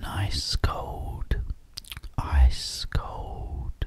Nice cold, ice cold,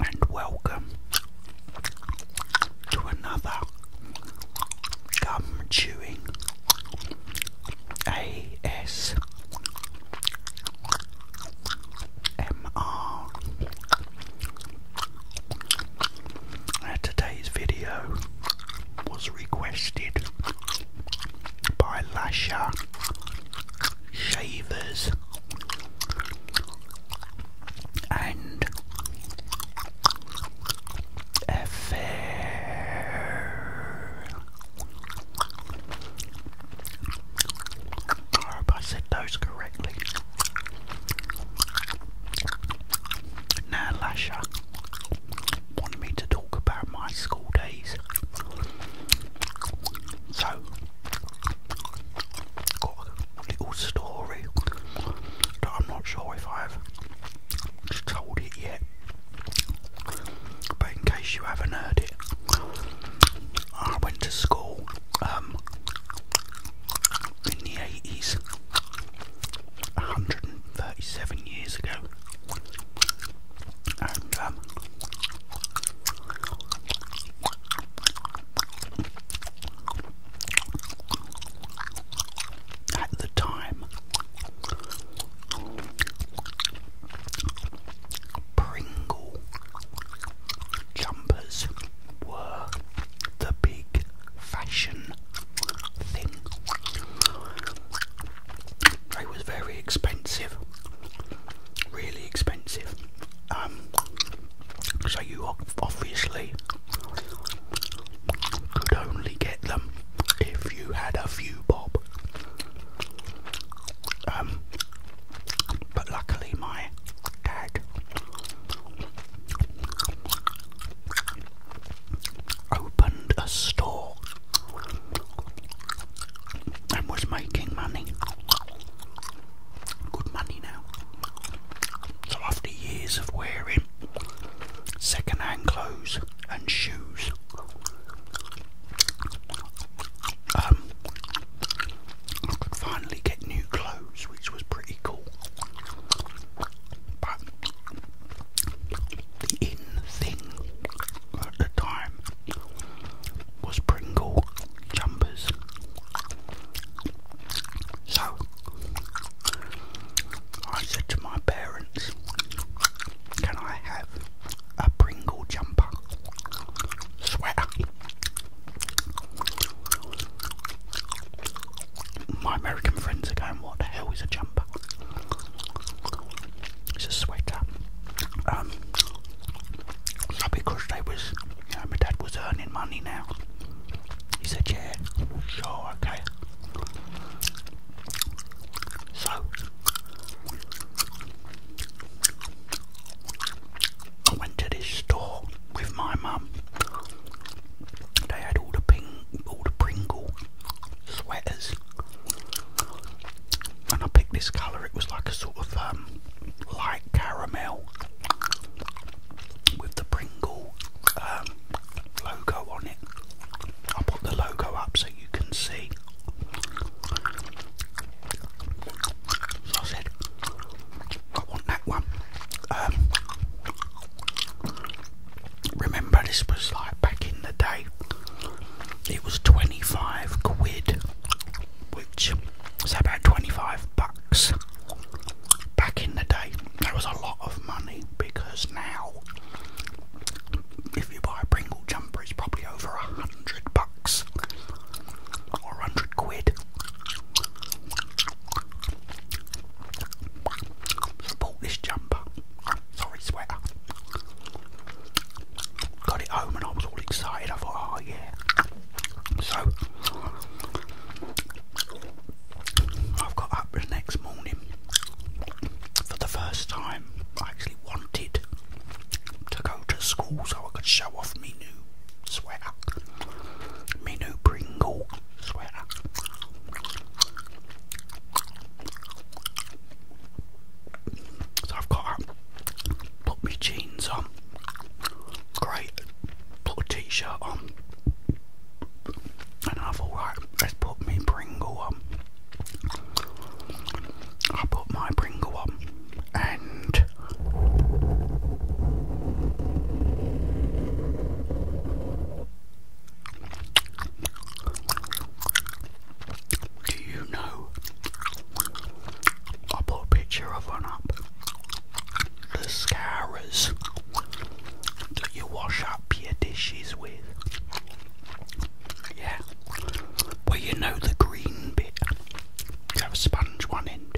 and welcome to another gum chewing AS MR. today's video was requested by Lasher Shavers and a fair I hope I said those correctly. Now Lasher wanted me to talk about my school days. So got a little story that I'm not sure if I've told it yet. But in case you haven't heard it, I went to school um, in the 80s, 137 years ago, and um, at the time, Pringle jumpers were the big fashion thing. They was very expensive, really expensive. Um, so you obviously could only get them if you had a few bob. Um, but luckily my dad opened a store and was making money good money now. So after years of wearing second-hand clothes and shoes, um, I could finally get new clothes, which was pretty cool. But the in thing at the time was Pringle jumpers. So I said to my parents, Can I have a Pringle jumper? Sweater. My American friends are going, What the hell is a jumper? It's a sweater. Um because they was you my dad was earning money now. He said, yeah, sure, okay. So, I went to this store with my mum. They had all the ping, all the Pringle sweaters, and I picked this colour. It was like a sort of um, light caramel with the Pringle um, logo on it. I'll put the logo up so you can see. So I said, I want that one. Um, remember, this was like back in the day, it was 25 quid, which so about 25 bucks back in the day that was a lot of money because now if you buy a pringle jumper it's probably over a hundred bucks or a hundred quid so this jumper sorry sweater got it home and I was all excited I thought oh yeah so I've got up the next morning for the first time. I actually wanted to go to school so I could show off my new sweater, my new Pringle sweater. So I've got put my jeans on, great put a t-shirt on and I thought right let's put me Pringle on I put my Pringle on and do you know I put a picture of one up the mascaras that you wash up your dishes with. Yeah. Well, you know the green bit. You have a sponge one end,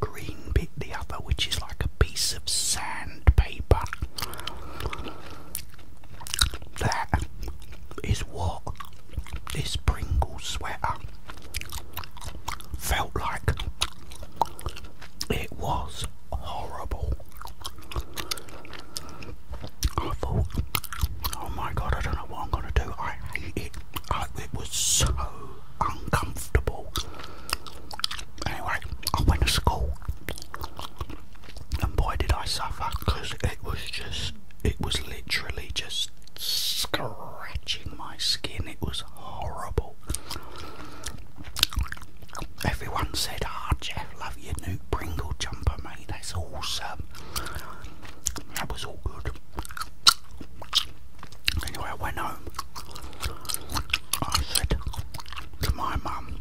green bit the other, which is like a piece of sandpaper. That is what this Pringle sweater felt like it was horrible. I thought, oh my god, I don't know what I'm gonna do. I hate it. it was so uncomfortable. Anyway, I went to school, and boy, did I suffer because it was just, it was literally just scratching my skin. It was horrible. Everyone said, "Ah, Jeff, love your new Pringle jumper, mate. That's awesome." That was all good. Anyway, I went home. I said to my mum,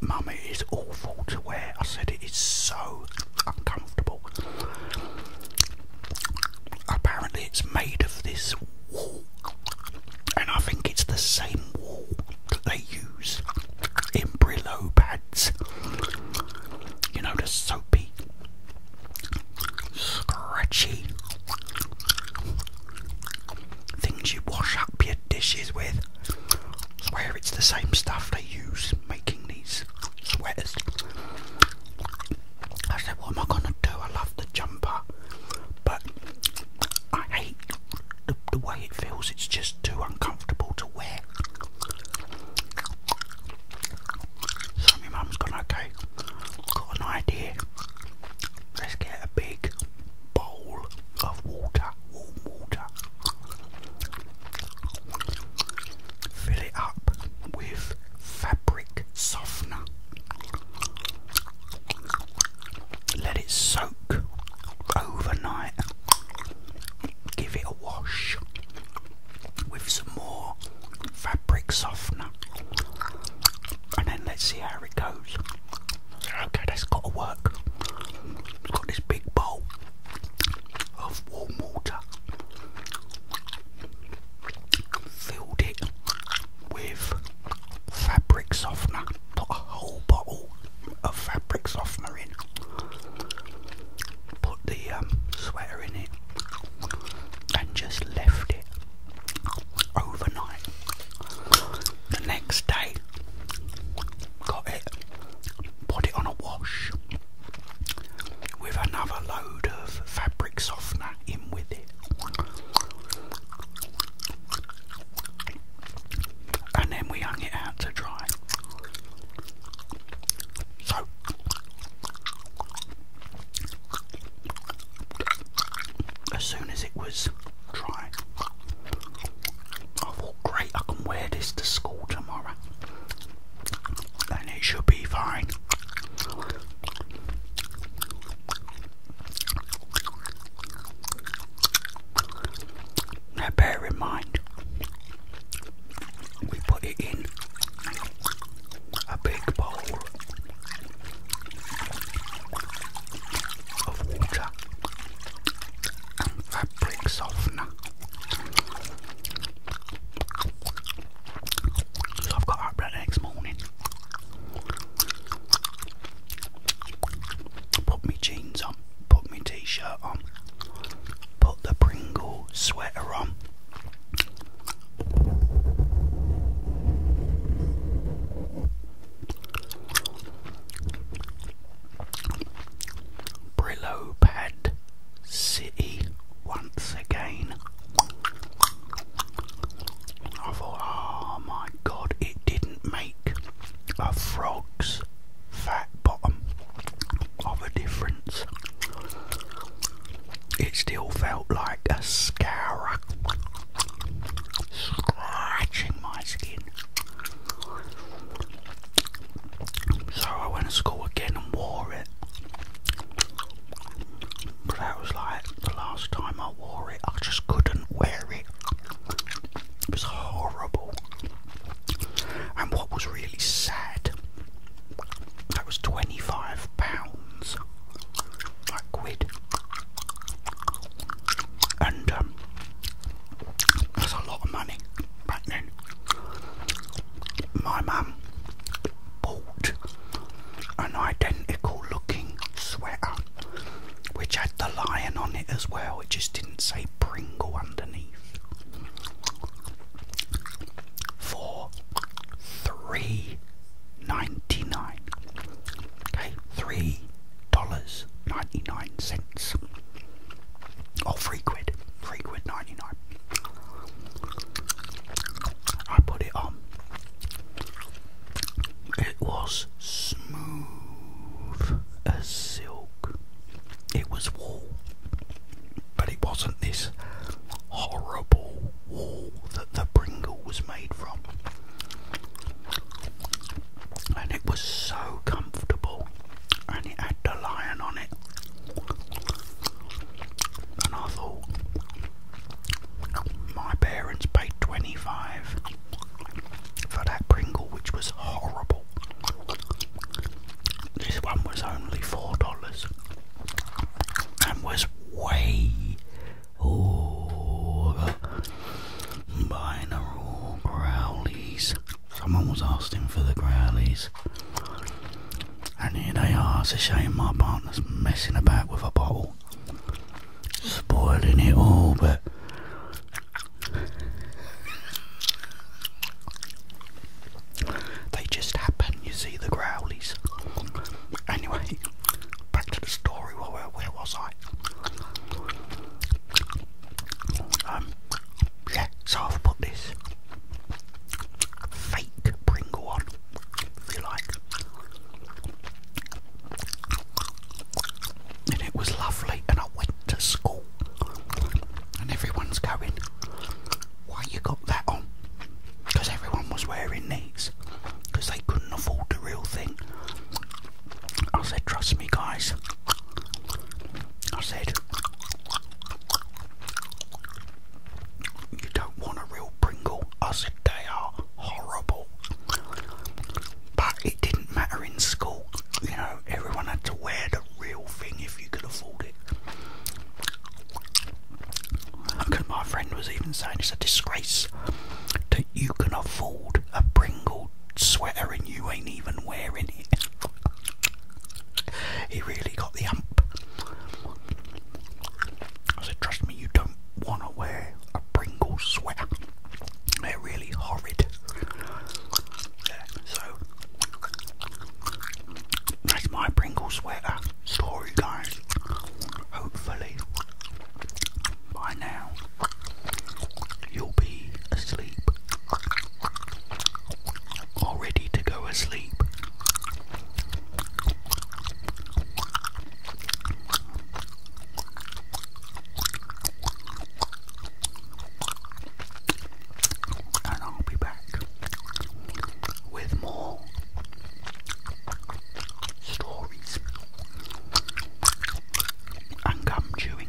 "Mum, it is awful to wear." I said it is so uncomfortable apparently it's made of this wool, and I think it's the same wool that they use in Brillo pads. You know, the soapy, scratchy things you wash up your dishes with. I swear it's the same stuff they use making these sweaters. I said, What am I gonna do? I love the jumper, but I hate the, way it feels, it's just too uncomfortable to wear. So, my mum's gone, Okay, got an idea. Let's get a big bowl of water, warm water. Fill it up with fabric softener. Let it soak overnight. Give it a wash with some more fabric softener. And then let's see how it goes. Okay, that's got to work. Got this big bowl of warm water filled it with fabric softener, put a whole bottle of fabric softener in, put the um, sweater in it, and just left it overnight. The next day, got it, put it on a wash with another load of fabric softener in with and then we hung it out to dry. So as soon as it was dry, I thought, great, I can wear this to school tomorrow and it should be fine. Now, bear in mind, we put it in a big bowl of water and fabric softener. I've got up that next morning. Put my jeans on, put my t shirt on, put the Pringle sweater on. Brillo pad city once again. I thought, oh my god, it didn't make a frog's fat bottom of a difference. It still felt like a scourer scratching my skin. So I went to school again and wore it because that was like the last time I wore it. I just couldn't wear it. It was horrible. And what was really sad, that was twenty-five pounds, like quid. And um, that's a lot of money back then. My mum bought an identical looking sweater which had the lion on it as well, it just didn't say Pringle underneath for three ninety nine. Okay, three dollars ninety nine cents. Or oh, three quid. Three quid ninety nine. I put it on. It was smooth as silk. It was wool, but it wasn't this horrible wool that the Pringle was made from. And it was so comfortable, and it had the lion on it and I thought my parents paid 25 for that Pringle, which was horrible. This one was only $4 and was way over buying a raw growlies. Someone was asking for the growlies. And here they are. It's a shame my partner's messing about with a bottle, spoiling it all, but. They just happen, you see the growlies. Anyway, back to the story. Where, was I? Um, yeah, so I've put this fake Pringle on if you like. And it was lovely, and I went to school, and everyone's going, Why you got that on? Because everyone was wearing these, because they couldn't afford the real thing. I said, Trust me, guys. I said, you don't want a real Pringle. as said they are horrible. But it didn't matter in school. You know, everyone had to wear the real thing if you could afford it. Because my friend was even saying it's a disgrace that you can afford a Pringle sweater and you ain't even wearing it. he really got the hump. I said, trust me, you don't want to wear a Pringle sweater. They're really horrid. so, that's my Pringle sweater story, guys. Hopefully, by now, you'll be asleep. Or ready to go asleep. And I'll be back with more stories and gum chewing.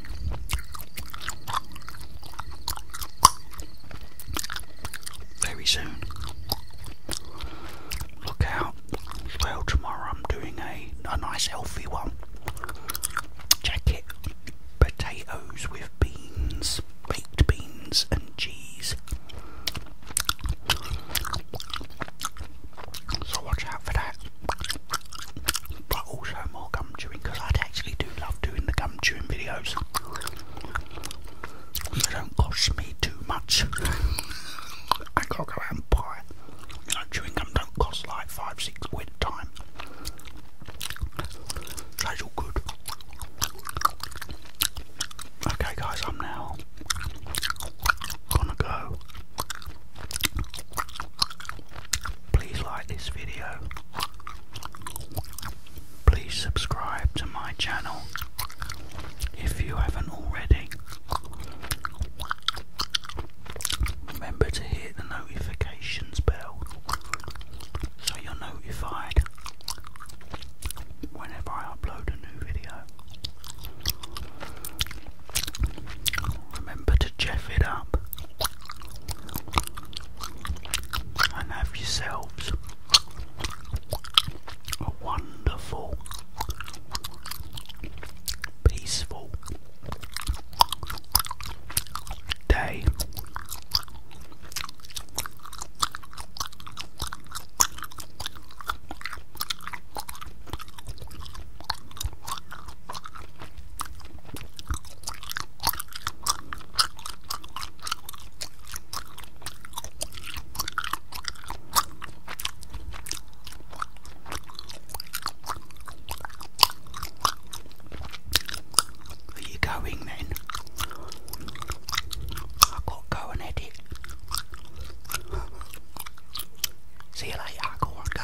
Very soon. Look out. Well, tomorrow I'm doing a, a nice healthy one. Jacket potatoes with beans, baked beans, and cheese. So watch out for that. But also more gum chewing because i actually do love doing the gum chewing videos. They don't cost me too much. I gotta go out and chewing gum don't cost like five, six quid a time. That's all good. Okay, guys, I'm now gonna go. Please like this video. Please subscribe to my channel if you haven't already. Remember to hit the notifications bell so you're notified whenever I upload a new video. Remember to jeff it up and have yourselves a wonderful, peaceful day. Are you going then? I've got to go and edit. See you later, I go and